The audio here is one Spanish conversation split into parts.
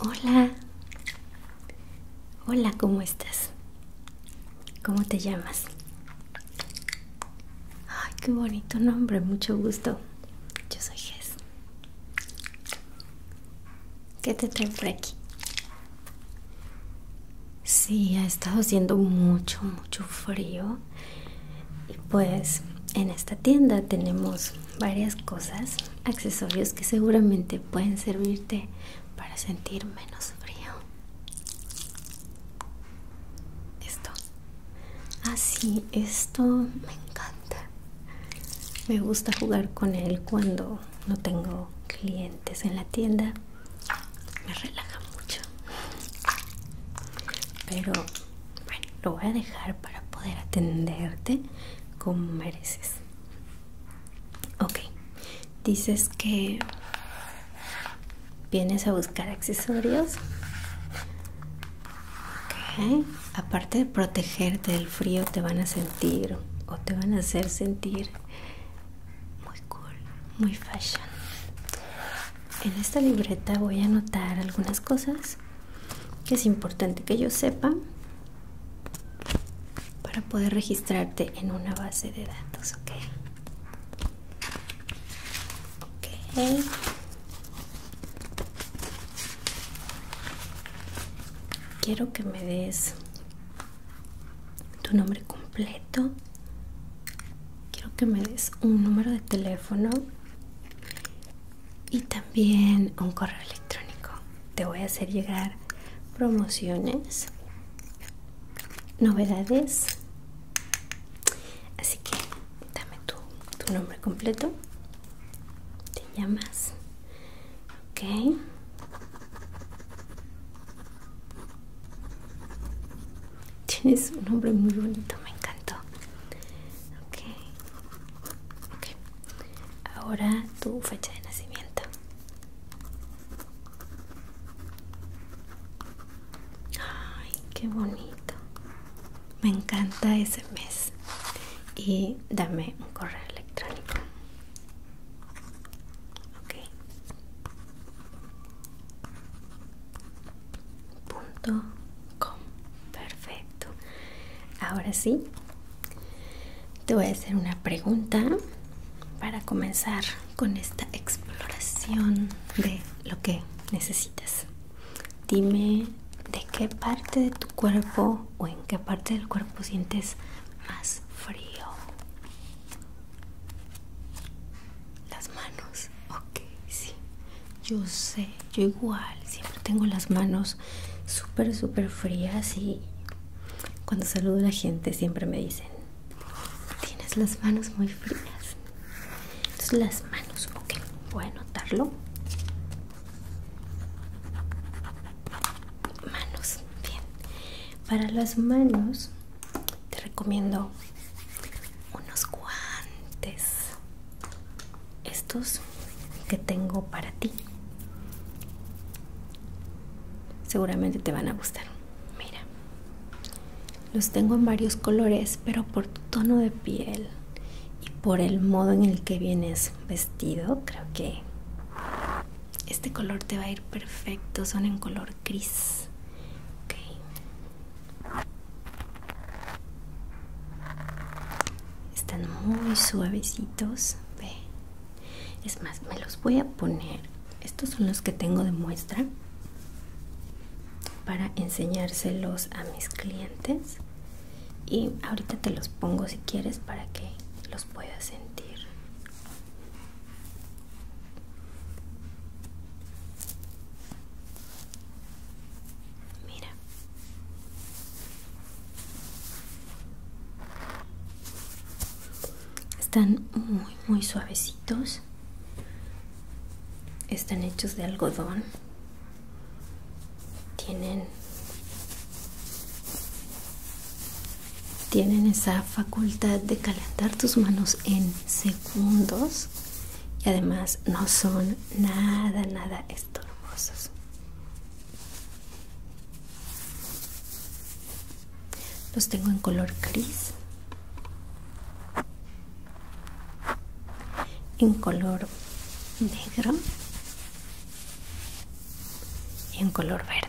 Hola. Hola, ¿cómo estás? ¿Cómo te llamas? Ay, qué bonito nombre, mucho gusto. Yo soy Jess. ¿Qué te trae por aquí? Sí, ha estado haciendo mucho, mucho frío. Y pues en esta tienda tenemos varias cosas, accesorios que seguramente pueden servirte para sentir menos frío. Esto. Así, ah, esto me encanta. Me gusta jugar con él cuando no tengo clientes en la tienda. Me relaja mucho. Pero bueno, lo voy a dejar para poder atenderte como mereces. Ok, dices que vienes a buscar accesorios. aparte de protegerte del frío, te van a sentir o te van a hacer sentir muy cool, muy fashion. En esta libreta voy a anotar algunas cosas que es importante que yo sepa para poder registrarte en una base de datos, ¿ok? Ok. Quiero que me des tu nombre completo. Quiero que me des un número de teléfono y también un correo electrónico. Te voy a hacer llegar promociones, novedades. Así que dame tu, nombre completo. Te llamas. Ok. Tienes un nombre muy bonito, me encantó. Ok. Ok. Ahora tu fecha de nacimiento. Ay, qué bonito. Me encanta ese mes. Y dame un correo electrónico. Ok. Punto com. Perfecto. Ahora sí, te voy a hacer una pregunta para comenzar con esta exploración de lo que necesitas. Dime de qué parte de tu cuerpo o en qué parte del cuerpo sientes más frío. Las manos, ok, sí. Yo sé, yo igual, siempre tengo las manos súper, súper frías y cuando saludo a la gente siempre me dicen, tienes las manos muy frías. Entonces las manos, ok, voy a notarlo Manos, bien. Para las manos te recomiendo unos guantes estos que tengo para ti seguramente te van a gustar mira los tengo en varios colores pero por tu tono de piel y por el modo en el que vienes vestido creo que este color te va a ir perfecto son en color gris están muy suavecitos ve es más me los voy a poner estos son los que tengo de muestra para enseñárselos a mis clientes y ahorita te los pongo si quieres para que los puedas sentir mira están muy, muy suavecitos. Están hechos de algodón. Tienen, tienen esa facultad de calentar tus manos en segundos y además no son nada, nada estorbosos. Los tengo en color gris, en color negro y en color verde.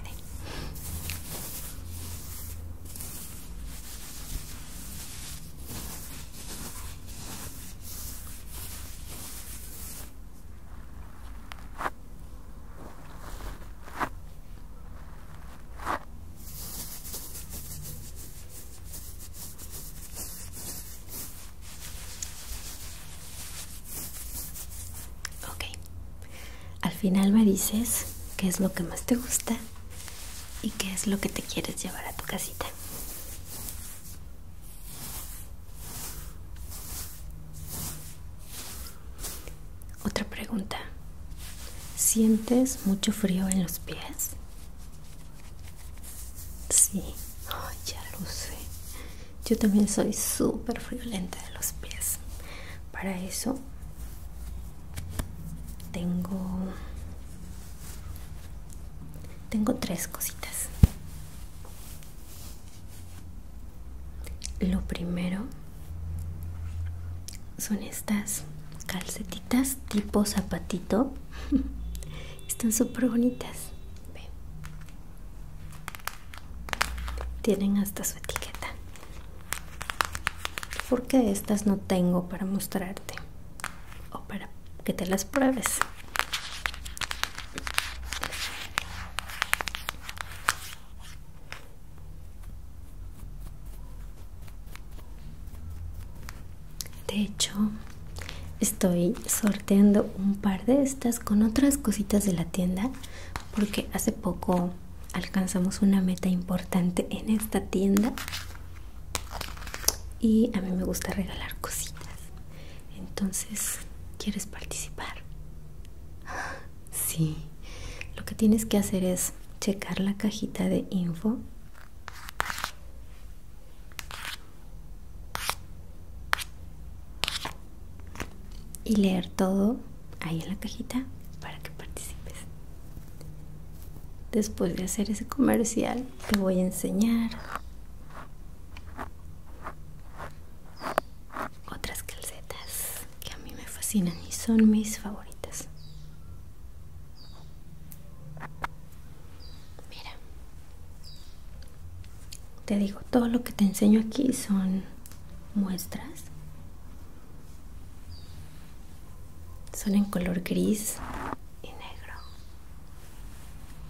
Okay. al final me dices qué es lo que más te gusta y qué es lo que te quieres llevar a tu casita. Otra pregunta. ¿Sientes mucho frío en los pies? Sí, ya lo sé. Yo también soy súper friolenta de los pies. Para eso tengo tengo tres cositas. Lo primero son estas calcetitas tipo zapatito. Están súper bonitas. Tienen hasta su etiqueta. Porque estas no tengo para mostrarte o para que te las pruebes. De hecho, estoy sorteando un par de estas con otras cositas de la tienda porque hace poco alcanzamos una meta importante en esta tienda y a mí me gusta regalar cositas. Entonces, ¿quieres participar? Sí, lo que tienes que hacer es checar la cajita de info. Y leer todo ahí en la cajita para que participes. Después de hacer ese comercial, te voy a enseñar otras calcetas que a mí me fascinan y son mis favoritas. Mira, te digo, todo lo que te enseño aquí son muestras. Son en color gris y negro.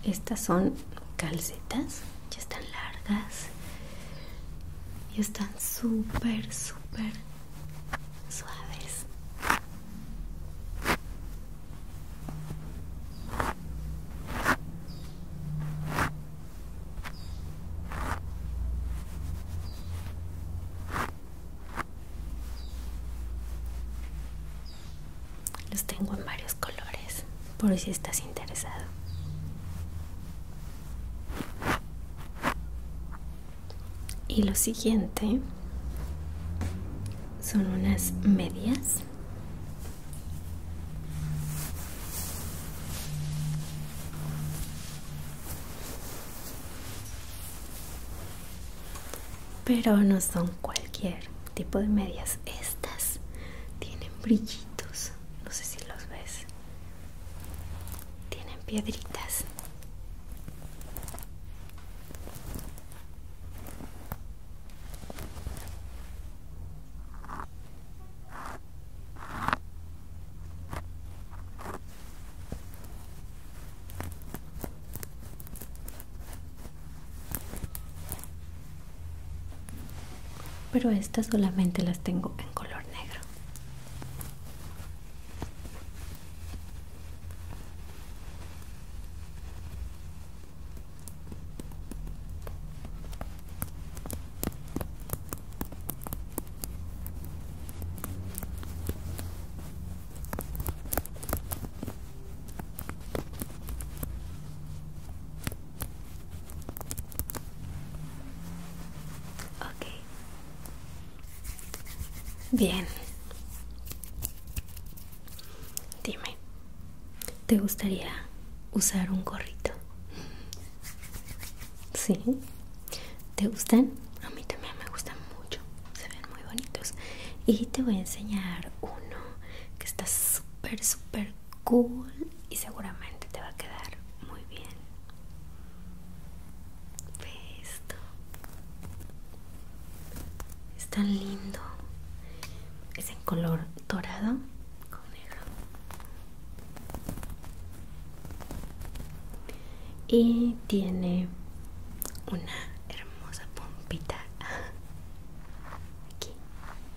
Estas son calcetas ya están largas y están súper súper suaves los tengo en varios colores por si estás interesado. Y lo siguiente son unas medias. Pero no son cualquier tipo de medias. Estas tienen brillitos no sé si los ves, tienen piedritas. Pero estas solamente las tengo en color negro. Ok. Bien. Dime, ¿te gustaría usar un gorrito? Sí. ¿Te gustan? A mí también me gustan mucho. Se ven muy bonitos. Y te voy a enseñar uno que está súper, súper cool y seguramente te va a quedar muy bien. Ve esto. Es tan lindo. Es en color dorado con negro. Y tiene una hermosa pompita aquí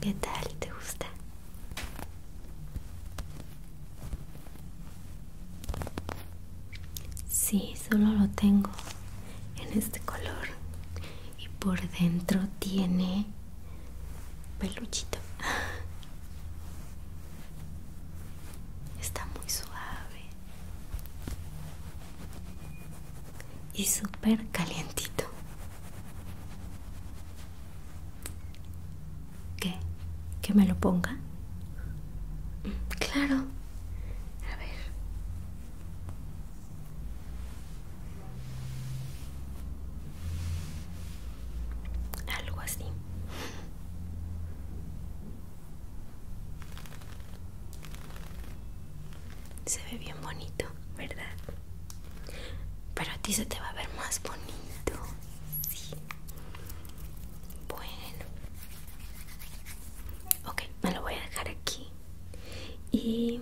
¿Qué tal? ¿Te gusta? Sí, solo lo tengo en este color y por dentro tiene peluchito. Está muy suave y súper calientito. ¿Qué? ¿Que me lo ponga? Mm, claro. A ver. Algo así. Se ve bien bonito, ¿verdad? Pero a ti se te va a ver más bonito. Sí. Bueno. Ok, me lo voy a dejar aquí y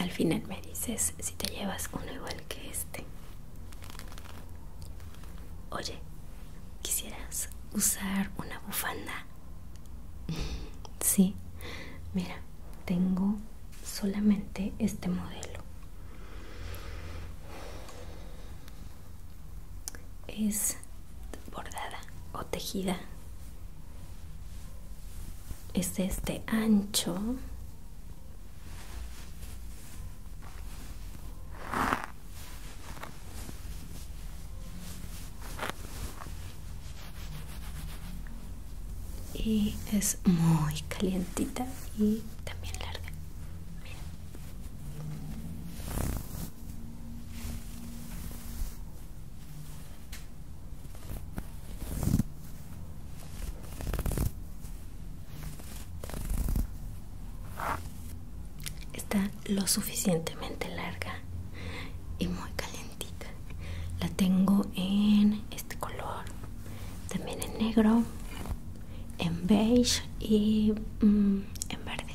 al final me dices si te llevas uno igual que este. Oye, ¿quisieras usar una bufanda? Sí, mira, tengo solamente este modelo. Es bordada o tejida es este ancho y es muy calientita y también larga Está lo suficientemente larga y muy calentita. La tengo en este color, también en negro, en beige y mm, en verde.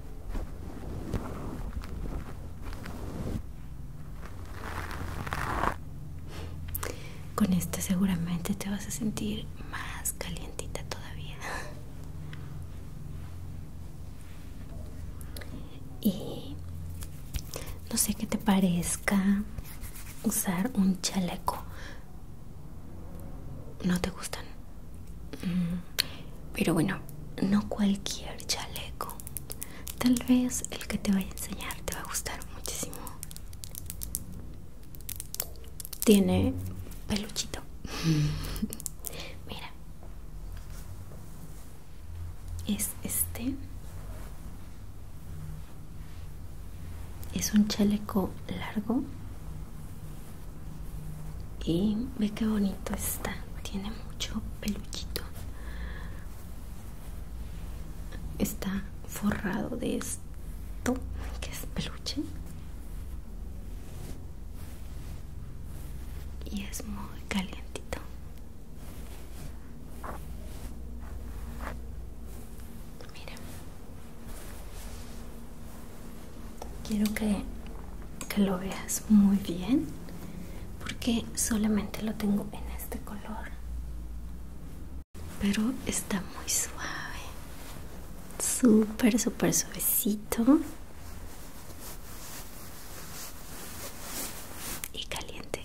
Con este seguramente te vas a sentir más calientita todavía. Y no sé qué te parezca usar un chaleco. No te gustan. Mm. Pero bueno, no cualquier chaleco. Tal vez el que te voy a enseñar te va a gustar muchísimo. Tiene peluchito. Mira. Es este. Es un chaleco largo y ve qué bonito está tiene mucho peluchito está forrado de esto que es peluche y es muy calientito mira Quiero que, lo veas muy bien porque solamente lo tengo en este color. Pero está muy suave. Súper, súper suavecito. Y caliente.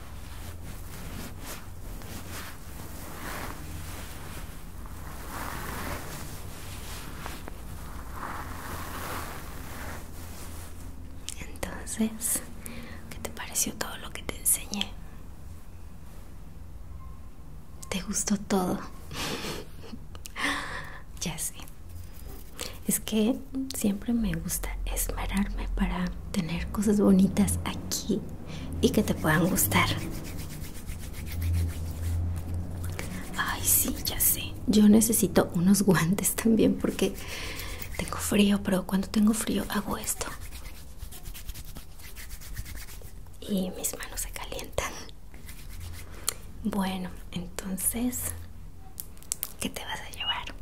Entonces, ¿qué te pareció todo lo que te enseñé? ¿Te gustó todo? ya sé. Es que siempre me gusta esmerarme para tener cosas bonitas aquí y que te puedan gustar. Ay, sí, ya sé. Yo necesito unos guantes también porque tengo frío, pero cuando tengo frío hago esto. Y mis manos se calientan. Bueno, entonces, ¿qué te vas a llevar?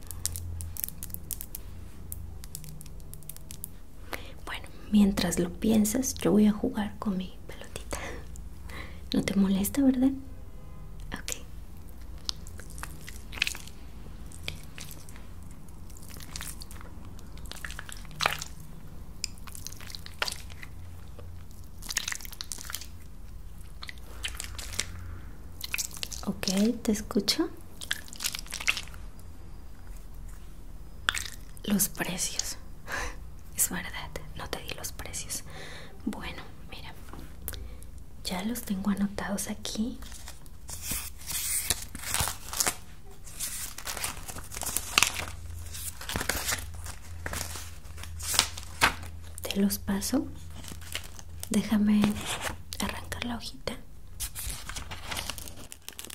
Bueno, mientras lo piensas, yo voy a jugar con mi pelotita. No te molesta, ¿verdad? Okay. Okay, te escucho. Los precios. Es verdad, no te di los precios. Bueno, mira. Ya los tengo anotados aquí. Te los paso. Déjame arrancar la hojita.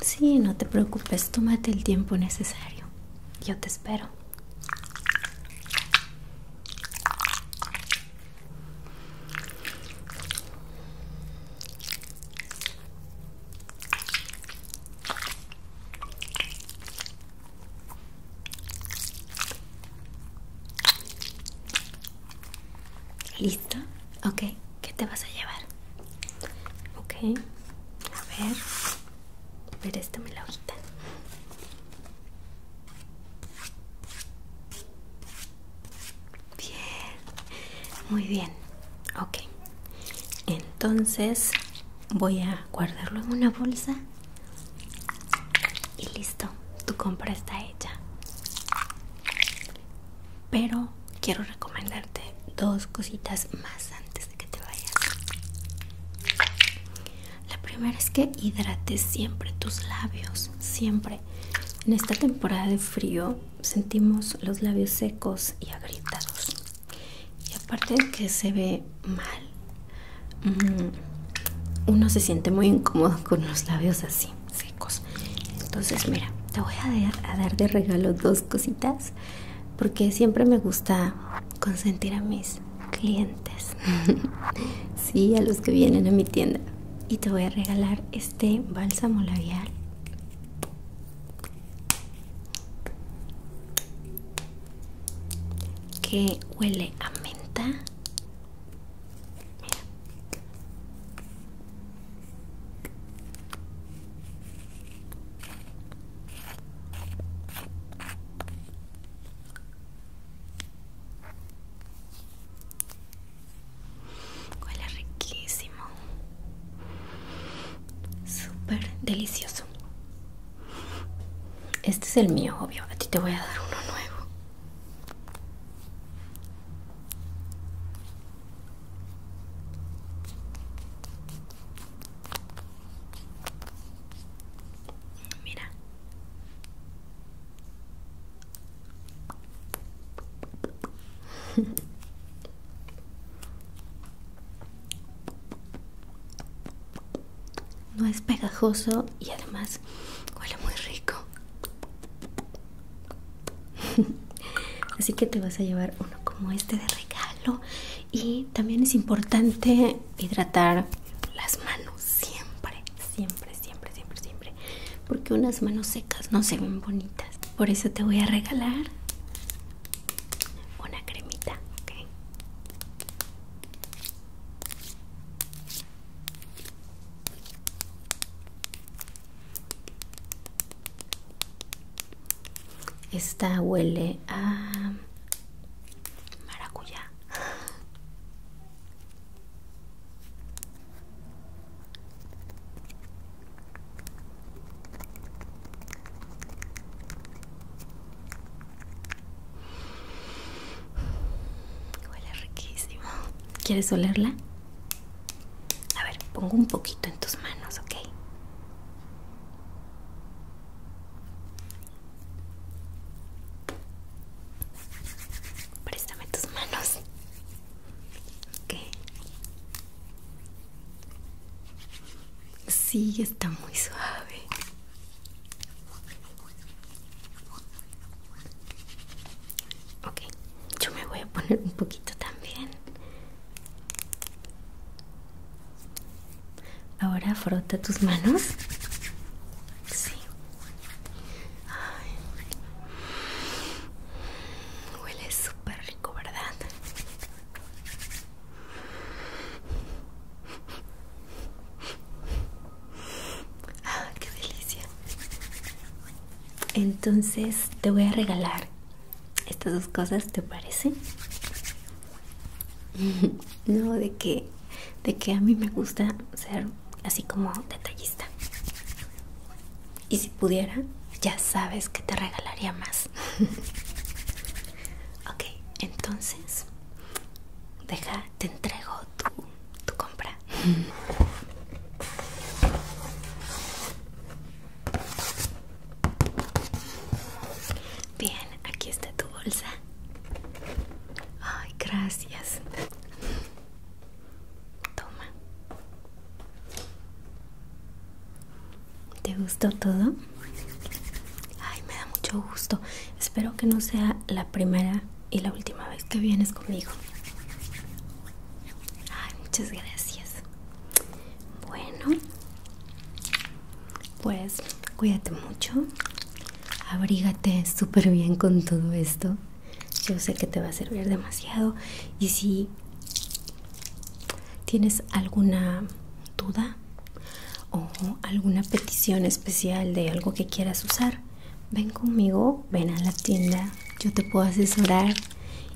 Sí, no te preocupes, tómate el tiempo necesario. Yo te espero. ¿Listo? Ok, ¿qué te vas a llevar? Ok, a ver, me la hojita. Bien, muy bien. Ok, entonces voy a guardarlo en una bolsa y listo, tu compra está hecha. Pero quiero recomendarte dos cositas más antes de que te vayas. La primera es que hidrate siempre tus labios, siempre. En esta temporada de frío sentimos los labios secos y agrietados. Y aparte de que se ve mal, mm, uno se siente muy incómodo con los labios así, secos. Entonces, mira, te voy a dar de regalo dos cositas porque siempre me gusta consentir a mis clientes sí a los que vienen a mi tienda y te voy a regalar este bálsamo labial que huele a menta Huele riquísimo. Súper delicioso. Este es el mío, obvio. A ti te voy a dar uno nuevo. Mira. No es pegajoso y además huele muy rico. Así que te vas a llevar uno como este de regalo y también es importante hidratar las manos siempre siempre siempre siempre siempre porque unas manos secas no se ven bonitas por eso te voy a regalar una cremita ok esta huele a maracuyá. Huele riquísimo. ¿Quieres olerla? A ver, pongo un poquito en tus manos, ¿ok? Préstame tus manos. ok Sí, está muy suave. Ok, yo me voy a poner un poquito también. Ahora frota tus manos. Sí. Huele súper rico, ¿verdad? Ah, qué delicia. Entonces te voy a regalar estas dos cosas te parecen? no de que de que a mí me gusta ser así como detallista y si pudiera ya sabes que te regalaría más ok entonces deja te entrego tu, tu compra Bien, aquí está tu bolsa. Ay, gracias. Toma. ¿Te gustó todo? Ay, me da mucho gusto. Espero que no sea la primera y la última vez que vienes conmigo. Ay, muchas gracias. Bueno, pues cuídate mucho, abrígate súper bien con todo esto. Yo sé que te va a servir demasiado. Y si tienes alguna duda o alguna petición especial de algo que quieras usar, ven conmigo, ven a la tienda, yo te puedo asesorar.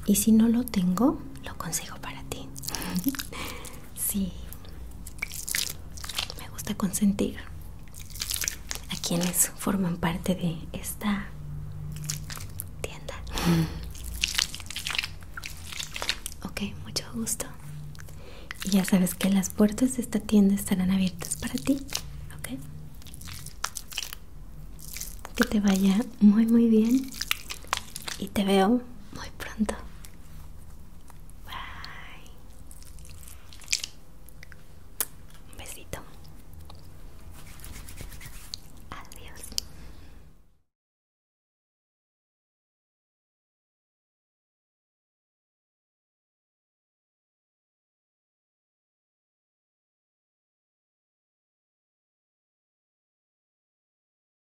Y si no lo tengo, lo consigo para ti. Sí, me gusta consentir a quienes forman parte de esta tienda. Mm. Ok, mucho gusto. Y ya sabes que las puertas de esta tienda estarán abiertas para ti. Ok. Que te vaya muy muy bien y te veo muy pronto. Bye. Un besito. Adiós.